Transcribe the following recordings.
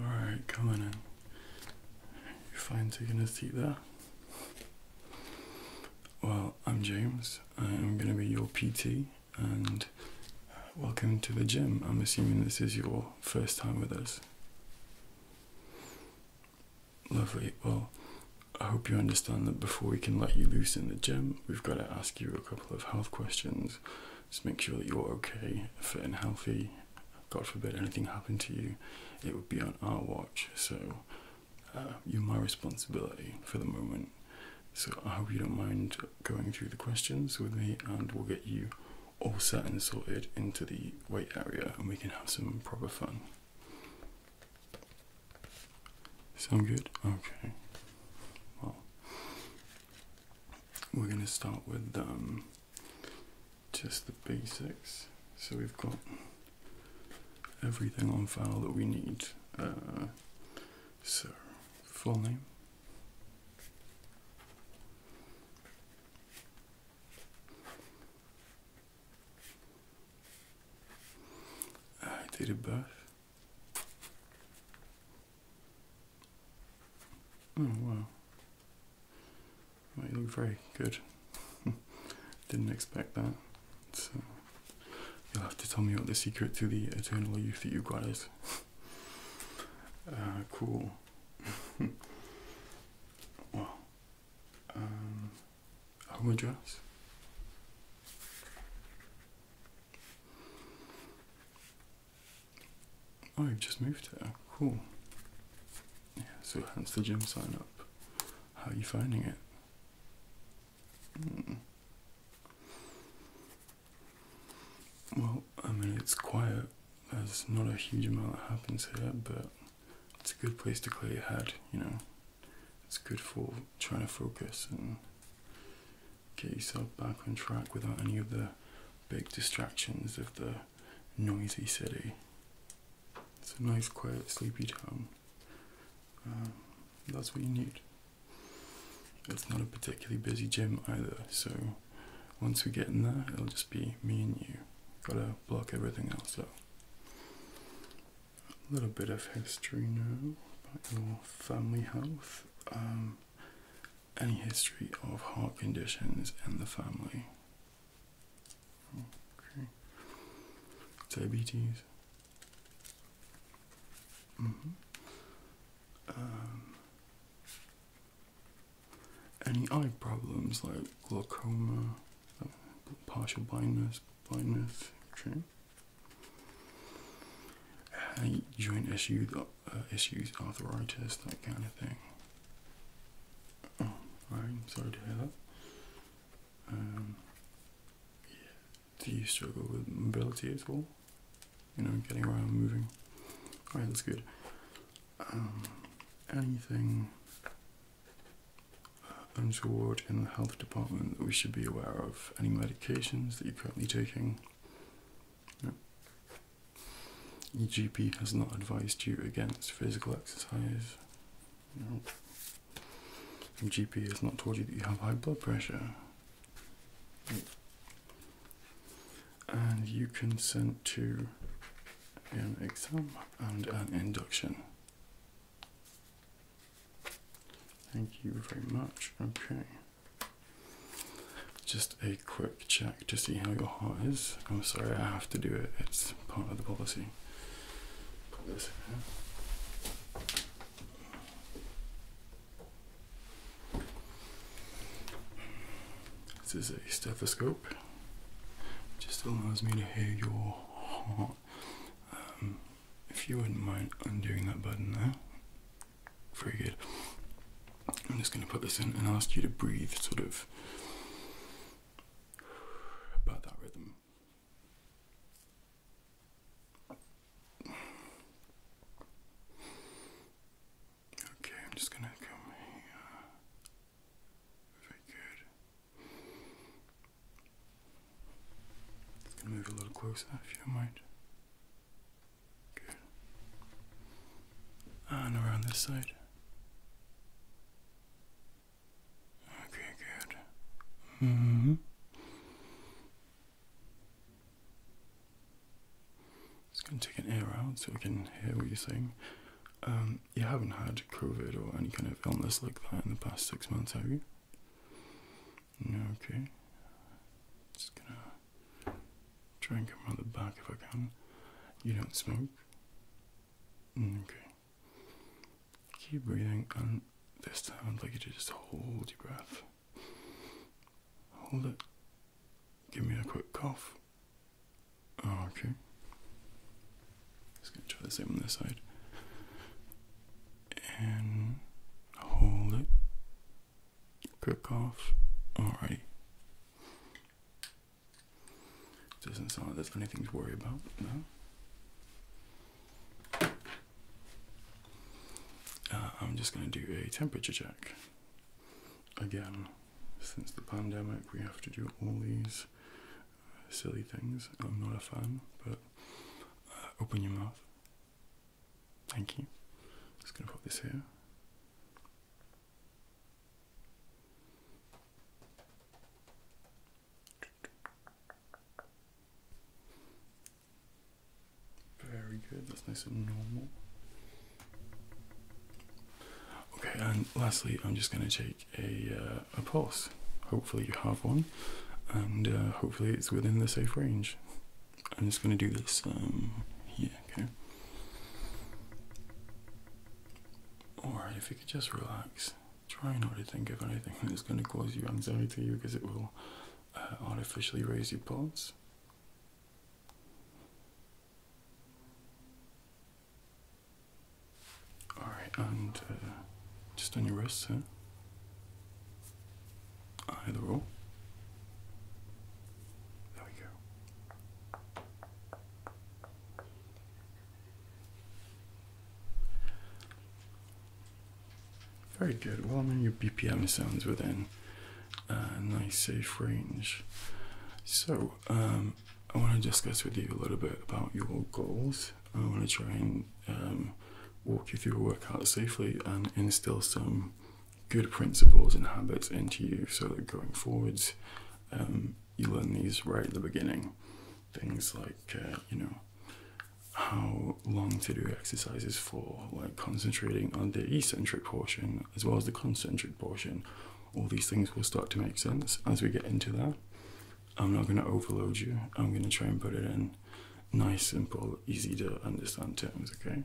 Alright, come on in. You fine taking a seat there? Well, I'm James. I'm going to be your PT and uh, welcome to the gym. I'm assuming this is your first time with us. Lovely. Well, I hope you understand that before we can let you loose in the gym, we've got to ask you a couple of health questions. Just make sure that you're okay, fit and healthy, God forbid anything happened to you, it would be on our watch. So uh, you're my responsibility for the moment. So I hope you don't mind going through the questions with me, and we'll get you all set and sorted into the weight area, and we can have some proper fun. Sound good? Okay. Well, we're gonna start with um, just the basics. So we've got everything on file that we need. Uh, so, full name. Uh, date of birth. Oh wow. you look very good. Didn't expect that. So you'll have to tell me what the secret to the eternal youth that you have got is. Uh, cool. well, um, home address. Oh, you've just moved here. Cool. Yeah, so hence the gym sign up. How are you finding it? Hmm. Well, I mean, it's quiet. There's not a huge amount that happens here, but it's a good place to clear your head, you know. It's good for trying to focus and get yourself back on track without any of the big distractions of the noisy city. It's a nice, quiet, sleepy town. Um, that's what you need. It's not a particularly busy gym either, so once we get in there, it'll just be me and you. Gotta block everything else out. A little bit of history now about your family health. Um, any history of heart conditions in the family? Diabetes. Mm-hmm. Um, any eye problems like glaucoma, partial blindness, blindness, Any joint issue that uh, issues, arthritis, that kind of thing. Oh, I'm sorry to hear that. Um, Do you struggle with mobility at all? You know, getting around, moving. All right, that's good. Um, anything untoward in the health department that we should be aware of? Any medications that you're currently taking? Your has not advised you against physical exercise. No. Your has not told you that you have high blood pressure. And you consent to an exam and an induction. Thank you very much. Okay. Just a quick check to see how your heart is. I'm oh, sorry, I have to do it. It's part of the policy. this is a stethoscope. It just allows me to hear your heart. Um, if you wouldn't mind undoing that button there. Very good. I'm just going to put this in and ask you to breathe sort of about that rhythm. Okay, I'm just going to come Very good. Just going to move a little closer if you mind. Good. And around this side. Okay, good. Mm-hmm. Just gonna take an air out so we can hear what you're saying. Um, you haven't had COVID or any kind of illness like that in the past six months, have you? No, okay. Just gonna Try and come around the back if I can. You don't smoke? Mm, okay. Keep breathing, and this time I'd like you to just hold your breath. Hold it. Give me a quick cough. Oh, okay. Just gonna try the same on this side. And hold it. Quick cough. Alright. Doesn't sound like there's anything to worry about, no? Uh, I'm just going to do a temperature check. Again, since the pandemic, we have to do all these uh, silly things. I'm not a fan, but uh, open your mouth. Thank you. Just going to put this here. Very good, that's nice and normal. Okay, and lastly, I'm just going to take a, uh, a pulse. Hopefully, you have one, and uh, hopefully, it's within the safe range. I'm just going to do this um, here, okay? Or if you could just relax, try not to think of anything that's going to cause you anxiety because it will uh, artificially raise your pulse. Alright, and uh, just on your wrist, huh? Either or. There we go. Very good. Well, I mean, your BPM sounds within uh, a nice, safe range. So, um, I want to discuss with you a little bit about your goals. I want to try and um, walk you through a workout safely and instill some good principles and habits into you so that going forwards um, you learn these right at the beginning. Things like, uh, you know, how long to do exercises for, like concentrating on the eccentric portion as well as the concentric portion. All these things will start to make sense as we get into that. I'm not going to overload you. I'm going to try and put it in nice, simple, easy to understand terms, okay?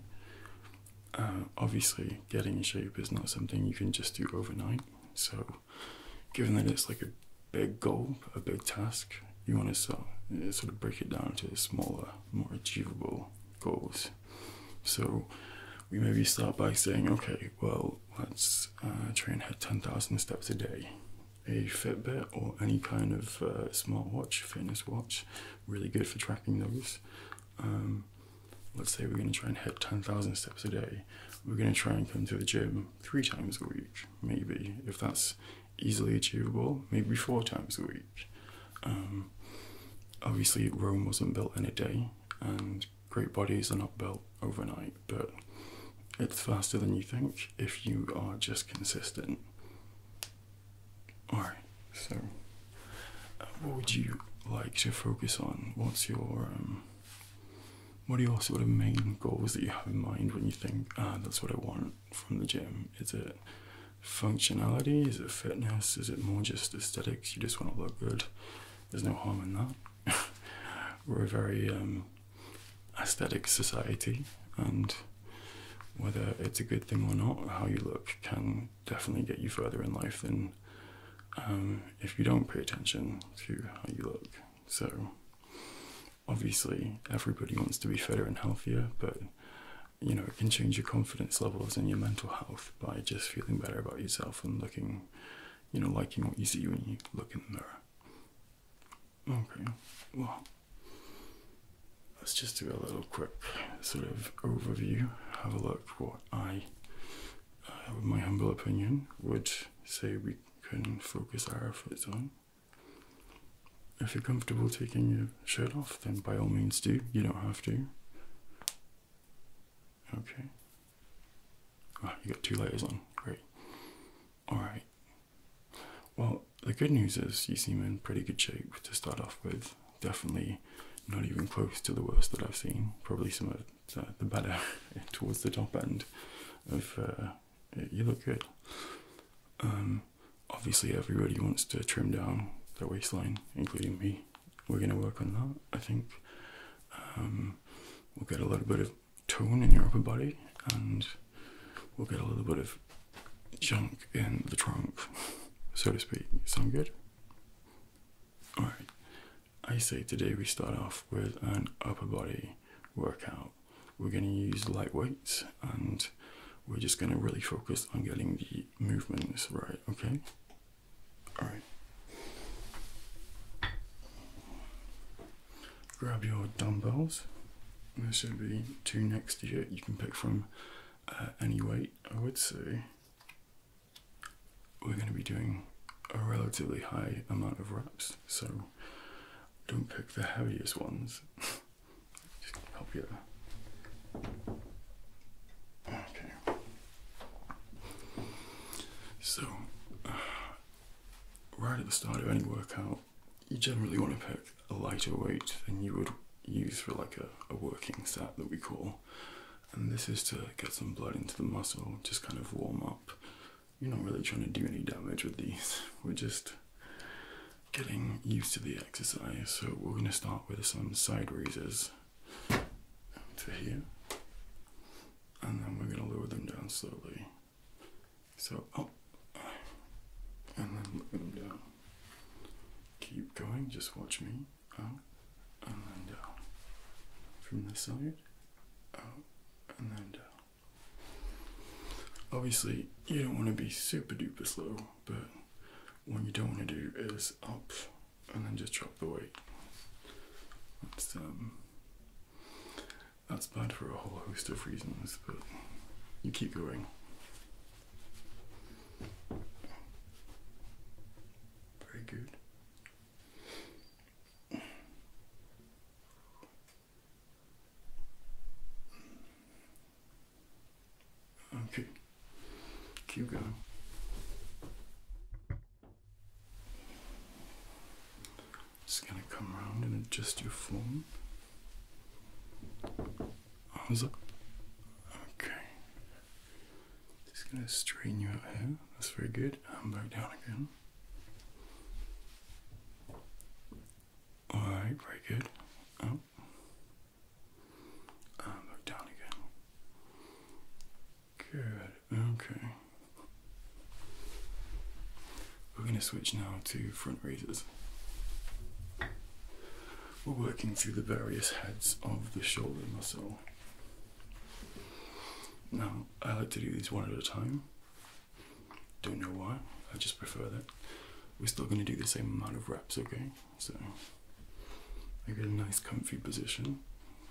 Uh, obviously getting in shape is not something you can just do overnight so given that it's like a big goal a big task you want to uh, sort of break it down to smaller more achievable goals so we maybe start by saying okay well let's uh, try and hit 10,000 steps a day a Fitbit or any kind of uh, smartwatch, fitness watch, really good for tracking those. Um, let's say we're going to try and hit 10,000 steps a day. We're going to try and come to the gym three times a week, maybe, if that's easily achievable, maybe four times a week. Um, obviously, Rome wasn't built in a day, and great bodies are not built overnight, but it's faster than you think if you are just consistent. Alright, so. What would you like to focus on? What's your um, what are your sort of main goals that you have in mind when you think, ah, that's what I want from the gym? Is it functionality? Is it fitness? Is it more just aesthetics? You just want to look good. There's no harm in that. We're a very um, aesthetic society, and whether it's a good thing or not, how you look can definitely get you further in life than um, if you don't pay attention to how you look. So, obviously, everybody wants to be fitter and healthier, but you know, it can change your confidence levels and your mental health by just feeling better about yourself and looking, you know, liking what you see when you look in the mirror. Okay, well, let's just do a little quick sort of overview, have a look what I uh, my humble opinion, would say we can focus our efforts on. If you're comfortable taking your shirt off, then by all means do. You don't have to. Okay. Oh, you got two layers on. Great. Alright. Well, the good news is you seem in pretty good shape to start off with. Definitely not even close to the worst that I've seen. Probably some of the better towards the top end of uh, you look good. Um, obviously, everybody wants to trim down the waistline, including me. We're going to work on that, I think. Um, we'll get a little bit of tone in your upper body and we'll get a little bit of junk in the trunk, so to speak. Sound good? Alright, I say today we start off with an upper body workout. We're going to use light weights and we're just going to really focus on getting the movements right, okay? Alright. Grab your dumbbells. There should be two next to you. You can pick from uh, any weight, I would say we're going to be doing a relatively high amount of reps, so don't pick the heaviest ones. help you Okay. So, right at the start of any workout, you generally want to pick a lighter weight than you would use for like a working set that we call and this is to get some blood into the muscle, just kind of warm up. You're not really trying to do any damage with these, we're just getting used to the exercise. So, we're going to start with some side raises to here, and then we're going to lower them down slowly. So, up oh, and then lower them down. Keep going, just watch me out, oh, and then down. From this side, out, oh, and then down. Obviously, you don't want to be super duper slow, but what you don't want to do is up and then just drop the weight. That's, um, that's bad for a whole host of reasons, but you keep going. Very good. Okay, keep going. Just gonna come around and adjust your form. How's it? Okay. Just gonna straighten you out here. That's very good. And back down again. Alright, very good. Up. And back down again. Good. Okay. We're gonna switch now to front raises. We're working through the various heads of the shoulder muscle. Now, I like to do these one at a time. Don't know why, I just prefer that. We're still going to do the same amount of reps, okay? So, I get a nice comfy position,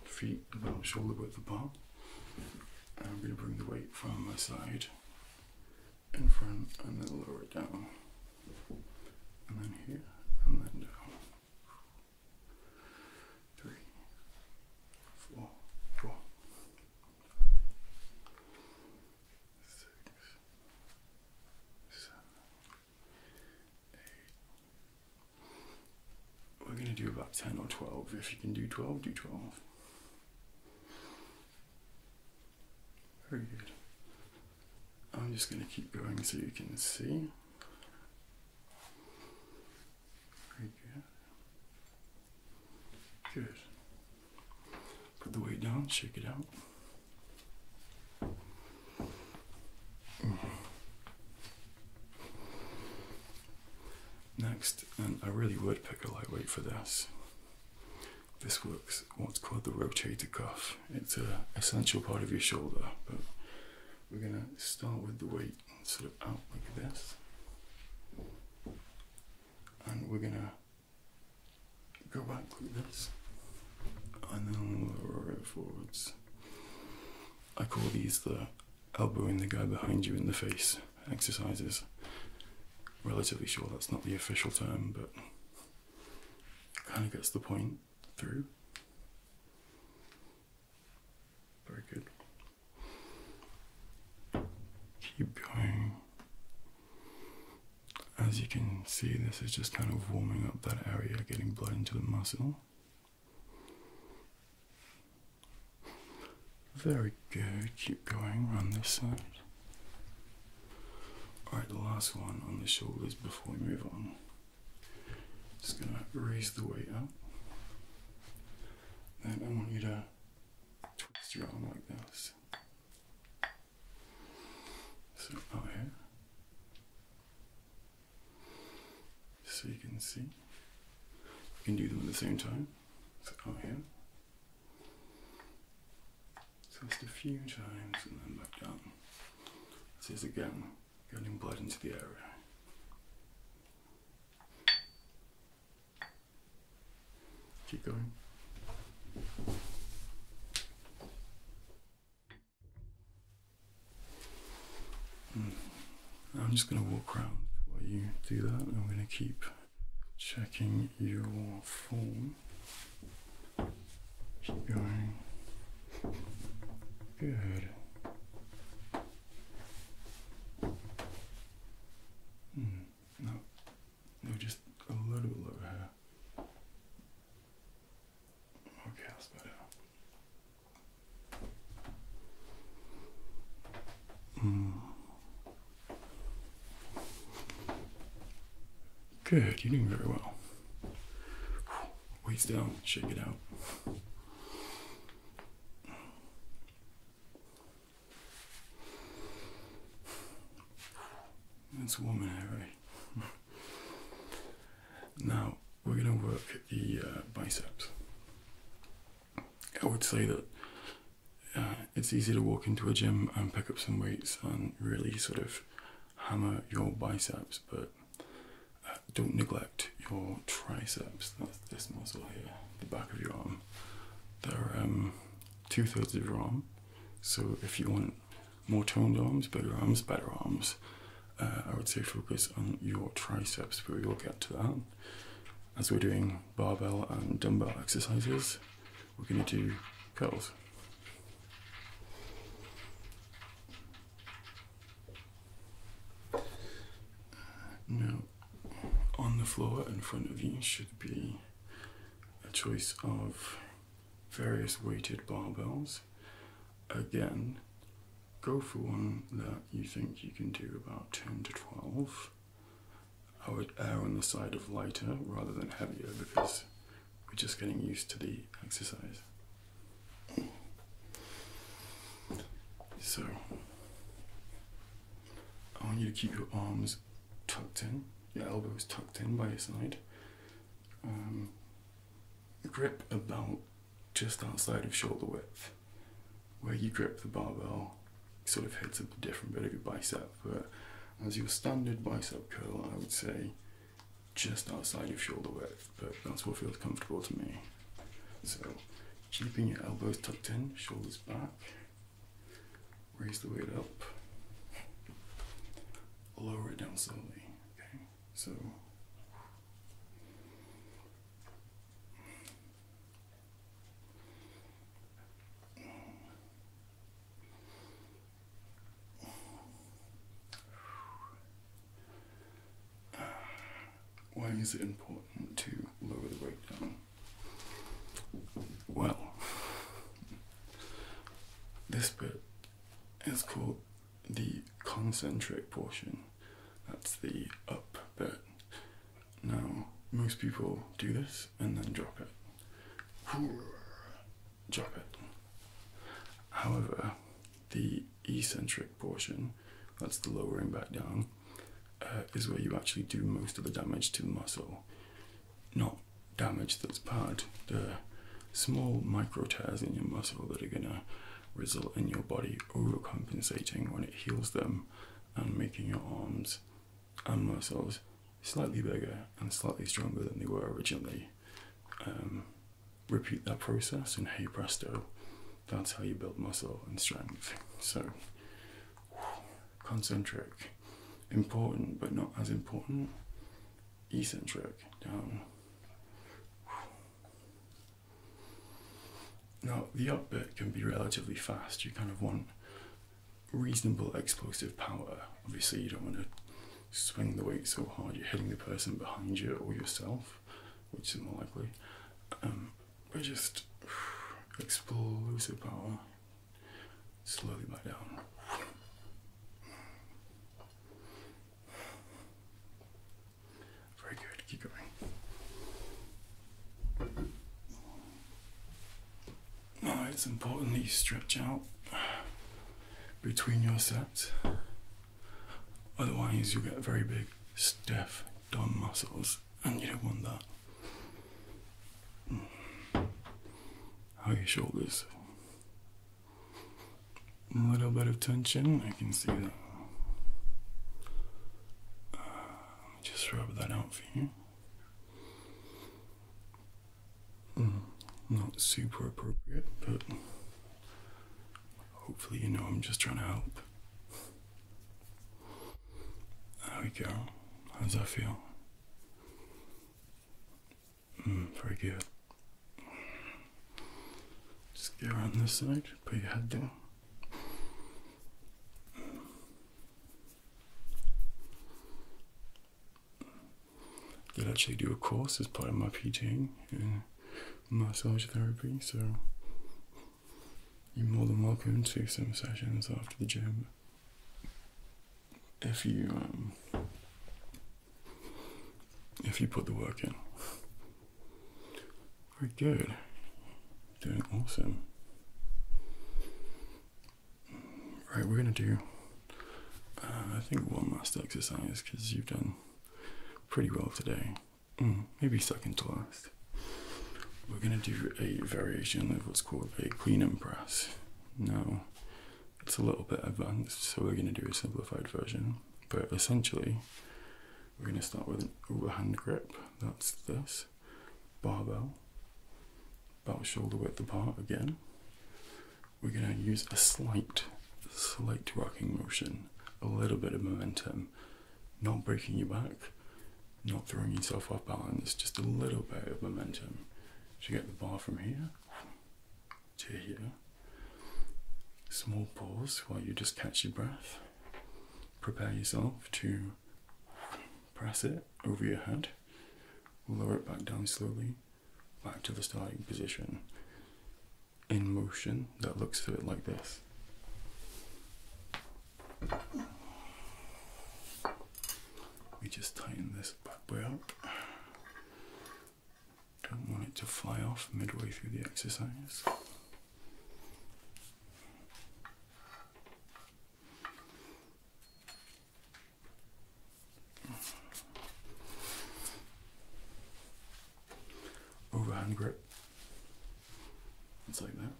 feet about shoulder width apart. And I'm going to bring the weight from my side in front and then lower it down. And then here and then down three, four, four, six, seven, eight. We're going to do about 10 or 12. If you can do 12, do 12. Very good. I'm just going to keep going so you can see. Good. Put the weight down, shake it out. Next, and I really would pick a lightweight for this. This works what's called the rotator cuff. It's an essential part of your shoulder, we're going to start with the weight sort of out like this. And we're going to go back like this. And then we'll lower it forwards. I call these the elbowing the guy behind you in the face exercises. Relatively sure that's not the official term, but it kind of gets the point through. Very good. Keep going. As you can see, this is just kind of warming up that area, getting blood into the muscle. Very good. Keep going. Run this side. Alright, the last one on the shoulders before we move on. Just going to raise the weight up. and I want you to twist your arm like this. So out here. So you can see. You can do them at the same time. So out here. just a few times and then back down. This again getting blood into the area. Keep going. Hmm. I'm just going to walk around while you do that. I'm going to keep checking your form. Keep going. Good. Hmm, no, no, just a little bit lower here. Okay, that's better. Mm. Good, you're doing very well. Wait down, shake it out. It's warm in here, Now we're gonna work the uh, biceps. I would say that uh, it's easy to walk into a gym and pick up some weights and really sort of hammer your biceps, but uh, don't neglect your triceps. That's this muscle here, the back of your arm. They're um, two thirds of your arm. So if you want more toned arms, bigger arms, better arms, uh, I would say focus on your triceps, but we'll get to that. As we're doing barbell and dumbbell exercises, we're going to do curls. Uh, now, on the floor in front of you should be a choice of various weighted barbells. Again, go for one that you think you can do about 10 to 12. I would err on the side of lighter rather than heavier because we're just getting used to the exercise. So I want you to keep your arms tucked in, your elbows tucked in by your side. Um, grip about just outside of shoulder width. Where you grip the barbell sort of hits a different bit of your bicep, but as your standard bicep curl, I would say just outside your shoulder width, but that's what feels comfortable to me. So keeping your elbows tucked in, shoulders back, raise the weight up, lower it down slowly. Okay, so why is it important to lower the weight down? Well, this bit is called the concentric portion. That's the up bit. Now, most people do this and then drop it. Drop it. However, the eccentric portion, that's the lowering back down, uh, is where you actually do most of the damage to the muscle. Not damage that's bad, the small micro tears in your muscle that are going to result in your body overcompensating when it heals them and making your arms and muscles slightly bigger and slightly stronger than they were originally. Um, repeat that process, and hey presto, that's how you build muscle and strength. So, concentric, important but not as important, eccentric, down. Now, the up bit can be relatively fast. You kind of want reasonable explosive power. Obviously, you don't want to swing the weight so hard you're hitting the person behind you or yourself which is more likely. Um, we just explore power slowly back down. Very good, keep going. Now it's important that you stretch out between your sets. Otherwise, you'll get very big, stiff, dumb muscles, and you don't want that. How are your shoulders? A little bit of tension, I can see that. Uh, let me just rub that out for you. Hmm, not super appropriate, but Hopefully, you know I'm just trying to help. There we go. How does that feel? Mm, very good. Just get around this side, put your head down. Did actually do a course as part of my teaching massage therapy, so you're more than welcome to some sessions after the gym if you um, if you put the work in. Very good. Doing awesome. Right, we're gonna do uh, I think one last exercise because you've done pretty well today. Mm, maybe second to last. We're gonna do a variation of what's called a clean and press. Now, it's a little bit advanced, so we're gonna do a simplified version. But essentially, we're gonna start with an overhand grip. That's this barbell, about shoulder width apart again. We're gonna use a slight slight rocking motion, a little bit of momentum, not breaking your back, not throwing yourself off balance, just a little bit of momentum to get the bar from here to here. Small pause while you just catch your breath. Prepare yourself to press it over your head, lower it back down slowly, back to the starting position in motion that looks to it like this. We just tighten this bad boy up. Don't want it to fly off midway through the exercise overhand grip. It's like that.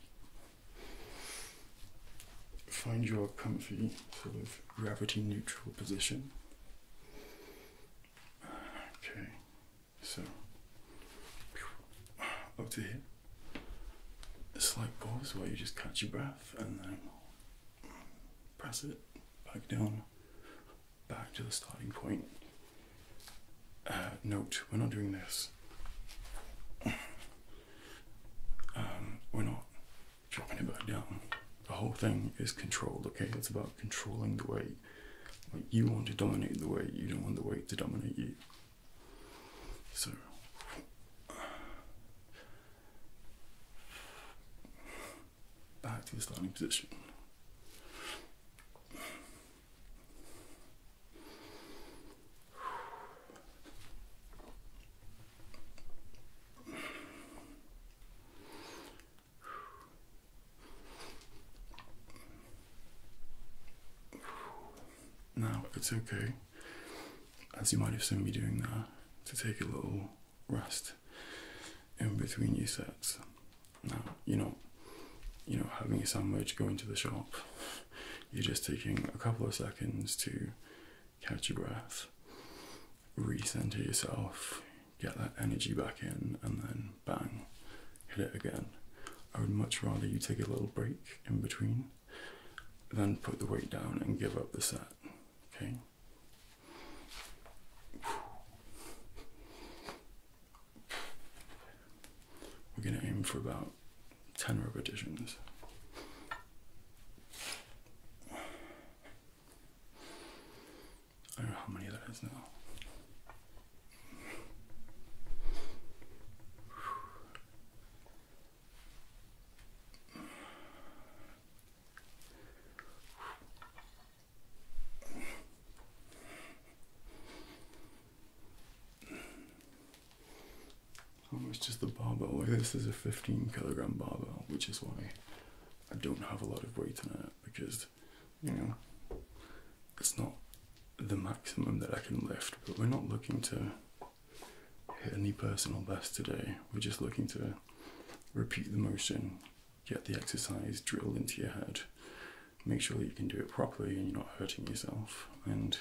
Find your comfy sort of gravity neutral position. Okay, so up to here. A slight pause while you just catch your breath and then press it back down back to the starting point. Uh, note, we're not doing this. Um, we're not dropping it back down. The whole thing is controlled, okay? It's about controlling the weight. you want to dominate the weight, you don't want the weight to dominate you. So back to the starting position. Now it's okay, as you might have seen me doing that, to take a little rest in between your sets. Now, you know, you know, having a sandwich, going to the shop, you're just taking a couple of seconds to catch your breath, recenter yourself, get that energy back in, and then bang, hit it again. I would much rather you take a little break in between than put the weight down and give up the set. Okay. We're going to aim for about 10 repetitions. I don't know how many there is now. How oh, just the barbell weigh? This is a 15 kilogram barbell, which is why I don't have a lot of weight in it because, you know, it's not the maximum that I can lift. But we're not looking to hit any personal best today. We're just looking to repeat the motion get the exercise drilled into your head. Make sure you can do it properly and you're not hurting yourself. And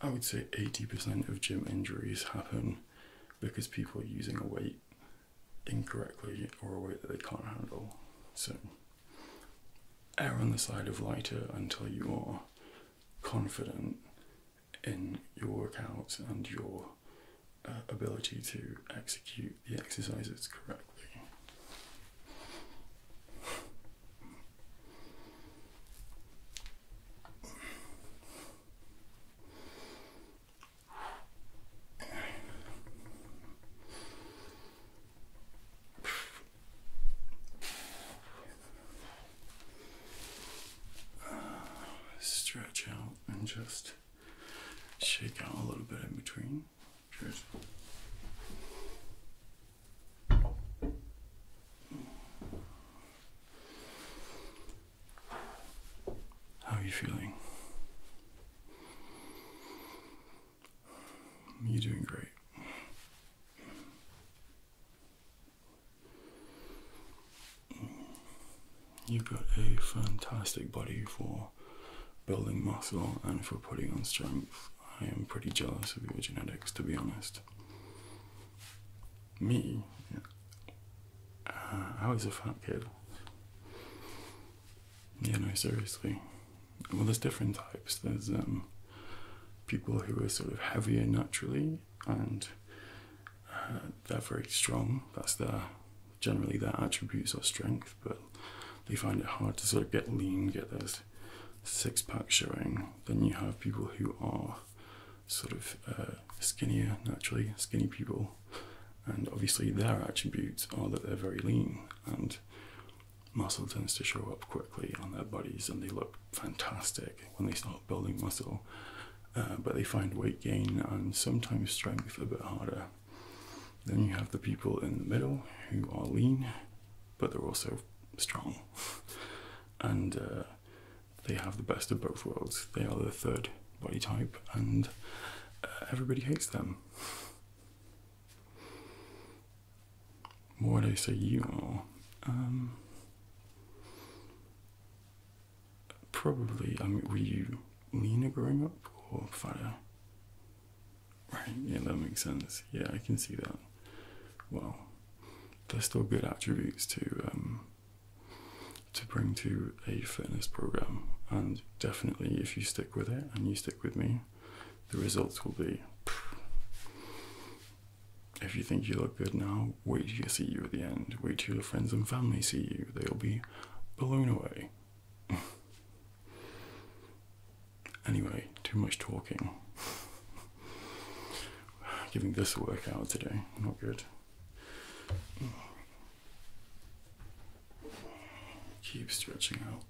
I would say 80% of gym injuries happen because people are using a weight incorrectly or a weight that they can't handle. So err on the side of lighter until you are confident in your workouts and your uh, ability to execute the exercises correctly. Stretch out and just shake out a little bit in between. How are you feeling? You're doing great. You've got a fantastic body for building muscle and for putting on strength. I am pretty jealous of your genetics, to be honest. Me? Uh, I was a fat kid. Yeah, no, seriously. Well, there's different types. There's um, people who are sort of heavier naturally and uh, they're very strong. That's their generally their attributes are strength, but they find it hard to sort of get lean, get those six pack showing. Then you have people who are sort of uh, skinnier naturally, skinny people, and obviously their attributes are that they're very lean and muscle tends to show up quickly on their bodies and they look fantastic when they start building muscle. Uh, but they find weight gain and sometimes strength a bit harder. Then you have the people in the middle who are lean, but they're also strong. and uh, they have the best of both worlds. They are the third body type, and uh, everybody hates them. What do I say you are? Um, probably, I um, mean, were you leaner growing up or fatter? Right, yeah, that makes sense. Yeah, I can see that. Well, they're still good attributes to um, to bring to a fitness program, and definitely if you stick with it and you stick with me, the results will be. If you think you look good now, wait till you see you at the end. Wait till your friends and family see you. They'll be blown away. anyway, too much talking. Giving this a workout today, not good. Keep stretching out.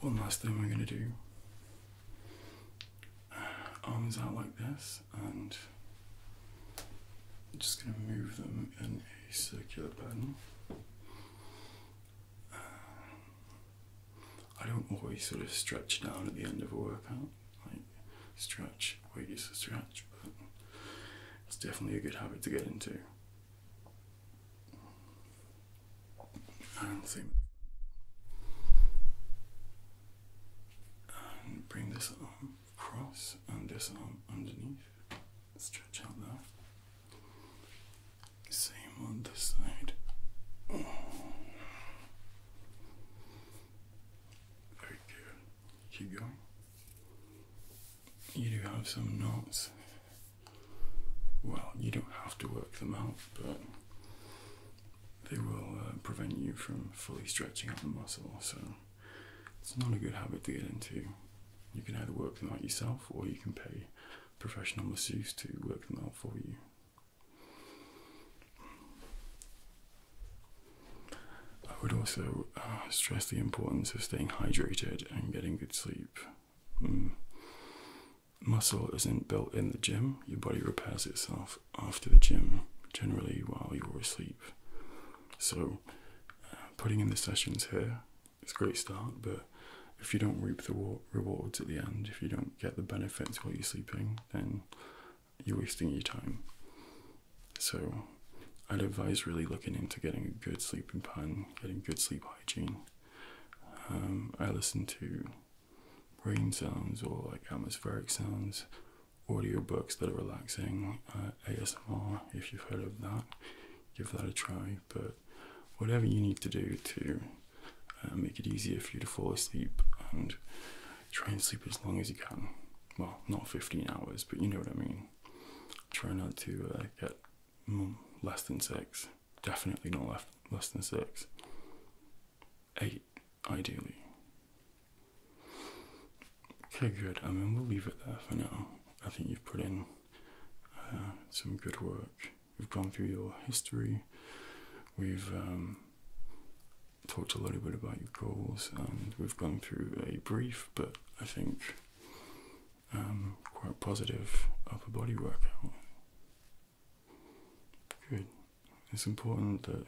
One last thing we're going to do arms out like this, and just going to move them in circular pattern. I don't always sort of stretch down at the end of a workout, like stretch, weights to stretch, but it's definitely a good habit to get into. And same and bring this arm across and this arm underneath stretch out now. Same on this side. Very good. Keep going. You do have some knots. Well, you don't have to work them out, but they will uh, prevent you from fully stretching out the muscle, so it's not a good habit to get into. You can either work them out yourself or you can pay professional masseuse to work them out for you. I would also uh, stress the importance of staying hydrated and getting good sleep. Mm. Muscle isn't built in the gym, your body repairs itself after the gym, generally while you're asleep. So, uh, putting in the sessions here it's a great start, but if you don't reap the rewards at the end, if you don't get the benefits while you're sleeping, then you're wasting your time. So, I'd advise really looking into getting a good sleeping pattern, getting good sleep hygiene. Um, I listen to rain sounds or like atmospheric sounds, audio books that are relaxing. ASMR if you've heard of that. Give that a try. But whatever you need to do to uh, make it easier for you to fall asleep and try and sleep as long as you can. Well, not 15 hours, but you know what I mean. Try not to uh, get less than six. Definitely not less, less than six. Eight, ideally. Okay, good. I mean, we'll leave it there for now. I think you've put in uh, some good work. We've gone through your history. We've um, talked a little bit about your goals, and we've gone through a brief, but I think um, quite positive upper body workout. Good. It's important that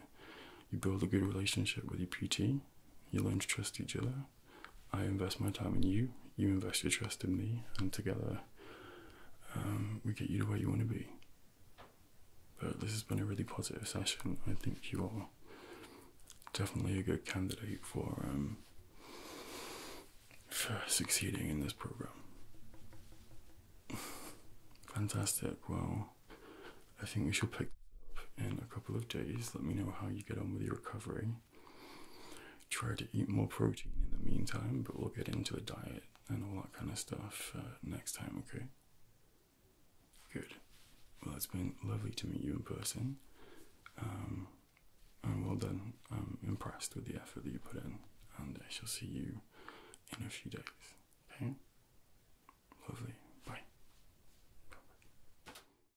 you build a good relationship with your PT. You learn to trust each other. I invest my time in you, you invest your trust in me, and together um, we get you to where you want to be. But this has been a really positive session. I think you are definitely a good candidate um, for succeeding in this program. Fantastic. Well, I think we should pick up in a couple of days. Let me know how you get on with your recovery. Try to eat more protein in the meantime, but we'll get into a diet and all that kind of stuff uh, next time, okay? Good. Well, it's been lovely to meet you in person. Um, well done. I'm impressed with the effort that you put in, and I shall see you in a few days, okay? Lovely. Bye.